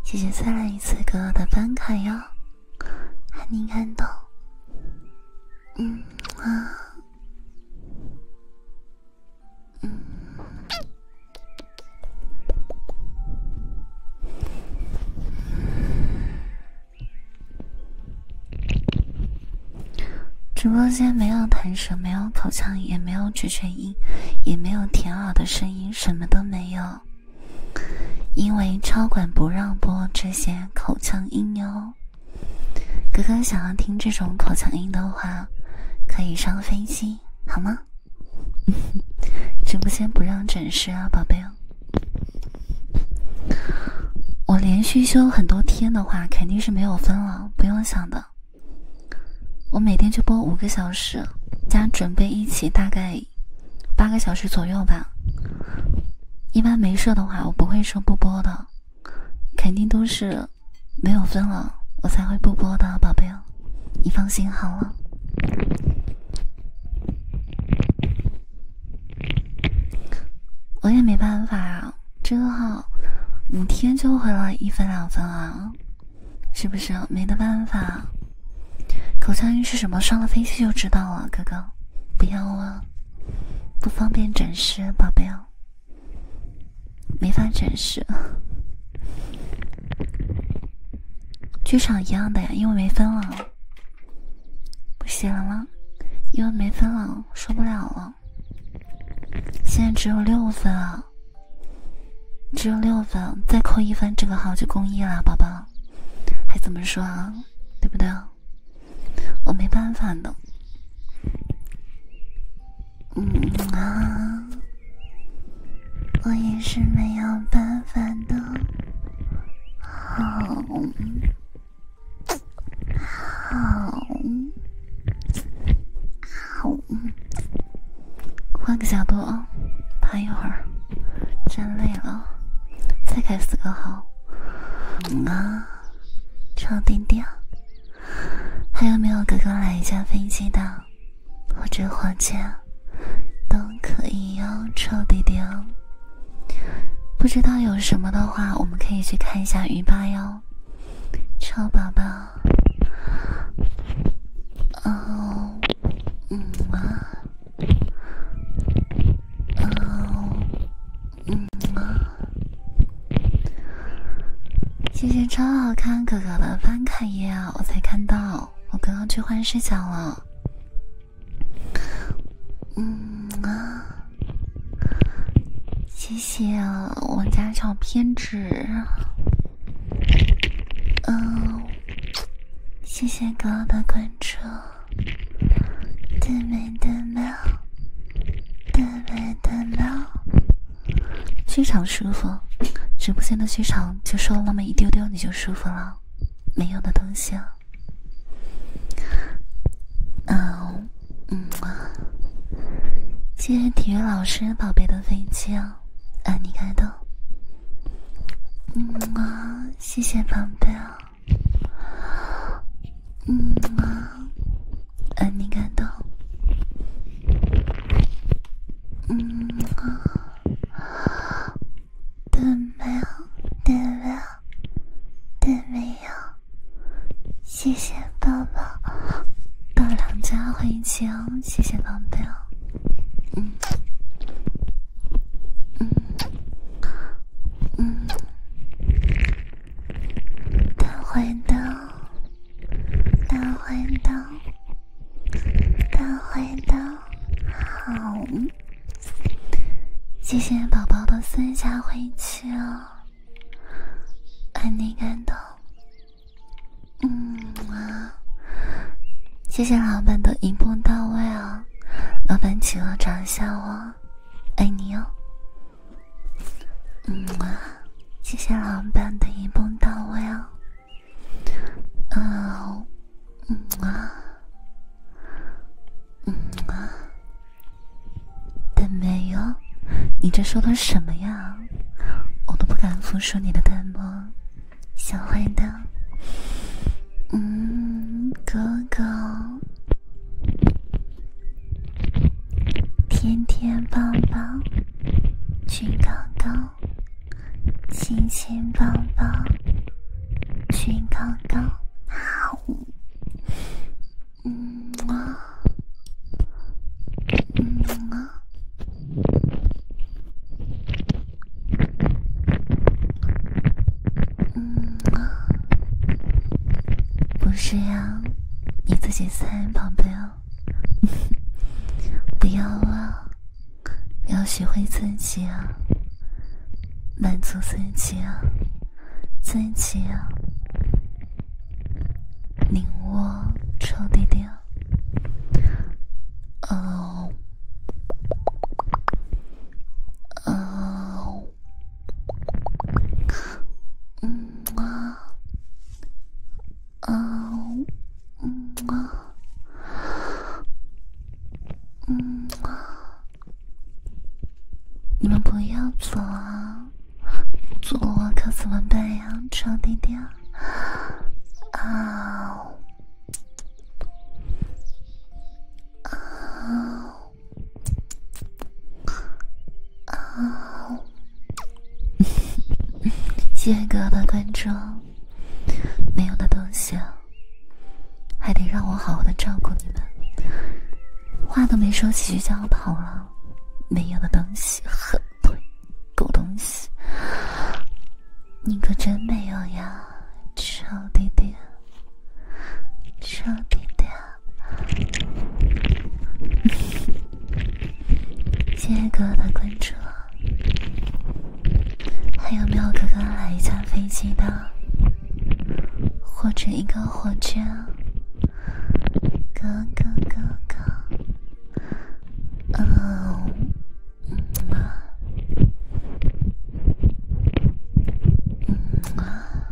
谢谢再来一次哥哥的班卡哟，喊很感动。嗯啊。直播间没有弹舌，没有口腔，也没有咀嚼音，也没有舔耳的声音，什么都没有。因为超管不让播这些口腔音哟。哥哥想要听这种口腔音的话，可以上飞机好吗？直播间不让展示啊，宝贝。我连续休很多天的话，肯定是没有分了，不用想的。我每天就播五个小时，加准备一起大概八个小时左右吧。一般没事的话，我不会说不播的。肯定都是没有分了，我才会不播的，宝贝你放心好了，我也没办法啊，这个号五天就回来一分两分啊，是不是？没得办法。口腔音是什么？上了飞机就知道了，哥哥，不要啊，不方便展示，宝贝没法展示，剧场一样的呀，因为没分了，不行了吗？因为没分了，受不了了，现在只有六分了，只有六分，再扣一分，这个号就公益了，宝宝，还怎么说啊？对不对？我没办法的，嗯啊，我也是没有办法的，好，好，好，换个角度啊，趴一会儿，站累了，再开四个号，啊。超弟弟，还有没有哥哥来一架飞机的，或者火箭，都可以哟，臭弟弟。不知道有什么的话，我们可以去看一下鱼吧哟，臭宝宝。哦，嗯啊，哦。嗯啊，谢谢超好看哥哥的翻卡页啊，我才看到，我刚刚去换视角了。嗯啊，谢谢我家小偏执。嗯，谢谢哥哥的关注。最美的美。非常舒服，直播间的机场就瘦那么一丢丢你就舒服了，没用的东西。啊。嗯，嗯，谢谢体育老师宝贝的飞机啊，爱你开的。嗯，谢谢宝贝啊。嗯啊，很感动。嗯啊，都没有，都没有，都没有。谢谢宝宝，到两家欢迎亲哦。谢谢宝贝哦。嗯，嗯，嗯。大坏蛋，大坏蛋，大坏蛋，好，谢谢宝宝的私下回气哦，爱你感动，嗯啊，谢谢老板的一步到位哦，老板请我长一下爱你哦。嗯啊，谢谢老板的一步到位哦。嗯，嗯啊，嗯啊，但没有，你这说的什么呀？我都不敢服输你的淡漠，小坏蛋。嗯，哥哥。天天抱抱，举高高，亲亲抱抱，举高高。好，嗯啊，嗯啊，嗯。不是呀，你自己猜，宝贝哦，不要啊，要学会自己啊，满足自己啊，自己啊，拧我臭弟弟哦，哦。嗯啊，啊，嗯啊，嗯啊，你们不要走啊！走了我可怎么办呀？超弟弟啊啊啊！啊！谢谢各位关注，没有的东西还得让我好好的照顾你们。话都没说几句就要跑了，没有的东西，很对，狗东西，你可真没有呀，臭弟弟，臭弟弟。谢谢哥哥的关注，还有没有哥哥来一架飞机的，或者一个火箭？哥哥哥哥，嗯，嗯啊，嗯啊。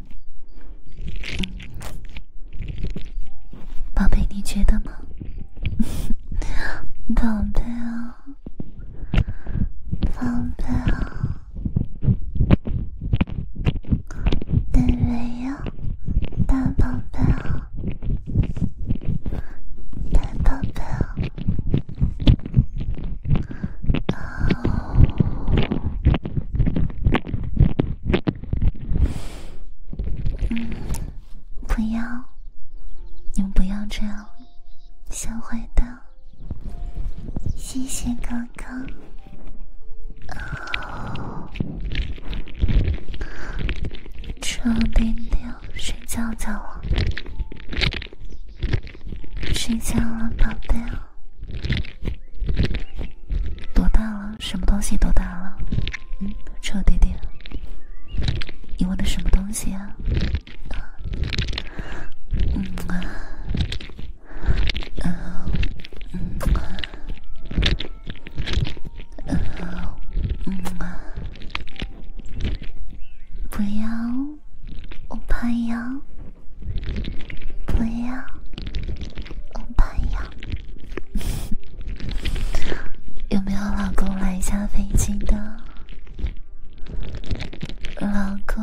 宝贝，你觉得吗？宝贝啊，宝贝啊，对没有？大宝贝啊，大宝贝啊。哦，嗯，不要，你们不要这样，小坏蛋。谢谢哥哥。哦，床垫垫，睡觉觉了，睡觉了，宝贝多大了？什么东西多大了？嗯，臭弟弟，你问的什么东西啊？嗯啊，呃，嗯啊，嗯啊，不要，我怕痒。不要，我怕痒。有没有老公来下飞机的？老公，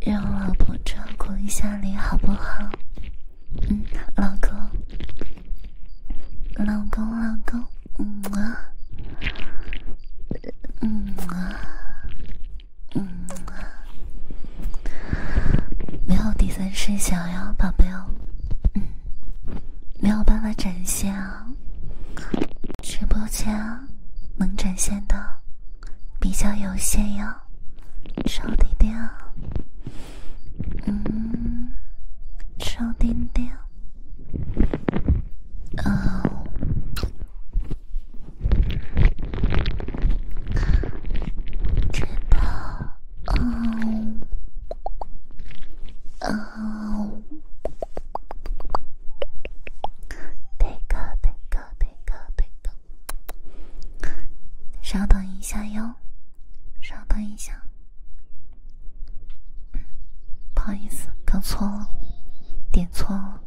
让老婆照顾一下你好不好？嗯，老公，老公，老公，嗯啊，嗯啊。嗯，没有第三视角呀，宝贝哦，嗯，没有办法展现啊，直播间能展现的比较有限呀，抽点点，嗯，抽点点，啊。这个，嗯，嗯，这个，这个，这个，这个，稍等一下哟，稍等一下，嗯，不好意思，搞错了，点错了。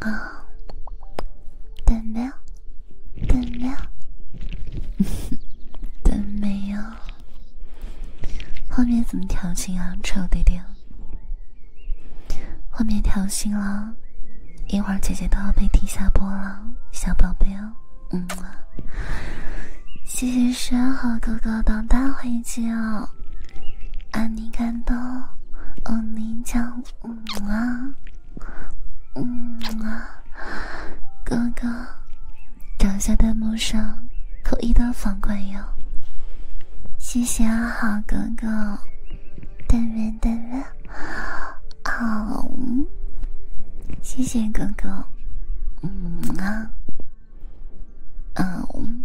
啊，等没有，等没有，等没有。后面怎么调情啊，臭弟弟！后面调情了，一会儿姐姐都要被踢下播了，小宝贝哦，嗯。谢谢山河哥哥当大回击哦，安妮感动，让你骄嗯啊，嗯啊，哥哥，找下弹幕上口一的房管哟，谢谢阿好哥哥，但愿但愿，好，谢谢哥哥，嗯啊，嗯。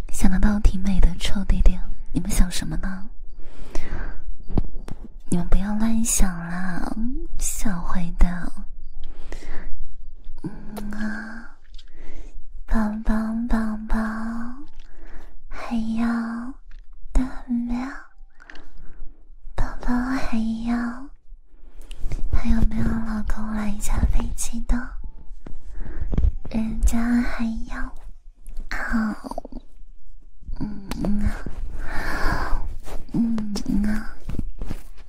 想得到挺美的，臭弟弟，你们想什么呢？你们不要乱想啦，小坏蛋。嗯啊，宝宝宝宝，还要大喵，宝宝还要，还有没有老公来一架飞机的？人家还要。好，嗯呐，嗯呐，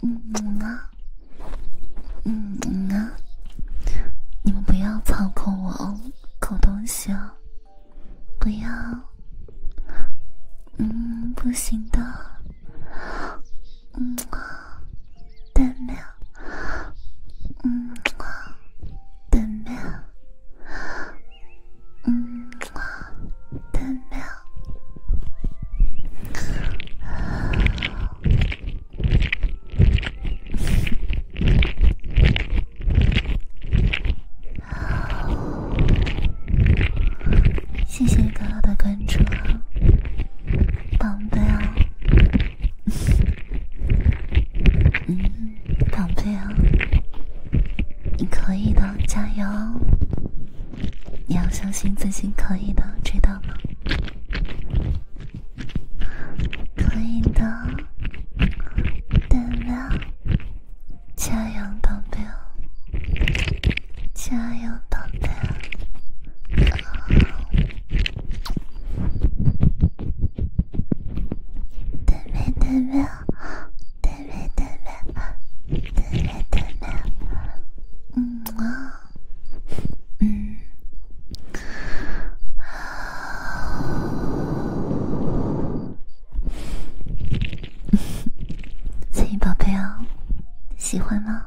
嗯呐，嗯呐，你们不要操控我哦，狗东西不要，嗯，不行的，嗯啊。对面，嗯对面，嗯对面，谢谢刚刚的关注，宝贝哦。嗯，宝贝啊，你可以的，加油！你要相信自己可以的，知道吗？可以的，点亮，加油，宝贝，加油，宝贝啊！对面，对面，对面，对面，对面，嗯，嗯，亲宝贝哦，喜欢吗？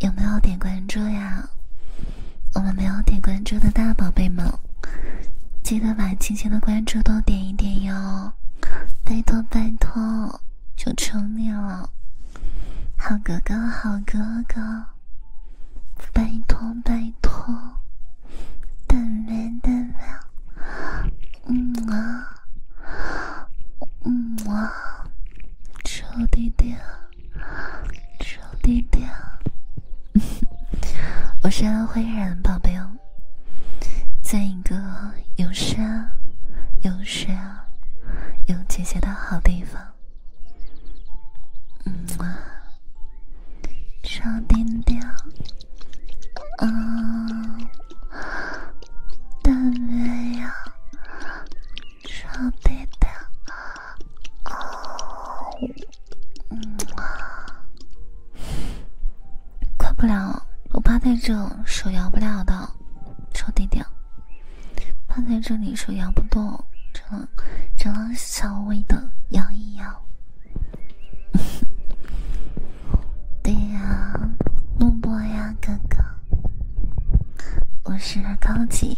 有没有点关注呀？我们没有点关注的大宝贝们，记得把亲亲的关注都点一点哟，拜托拜托，求求你了，好哥哥好哥哥，拜托拜托，等等等等，嗯啊，嗯啊，求弟弟。少点点，我是安徽人，宝贝哦，在一个有山、有水、有姐姐的好地方。嗯啊，少点点，嗯，但没有。臭弟弟啊嗯啊，不了，我趴在这，手摇不了的，臭弟弟，趴在这里手摇不动，只能只能稍微的摇一摇。对呀，录播呀，哥哥，我是高级。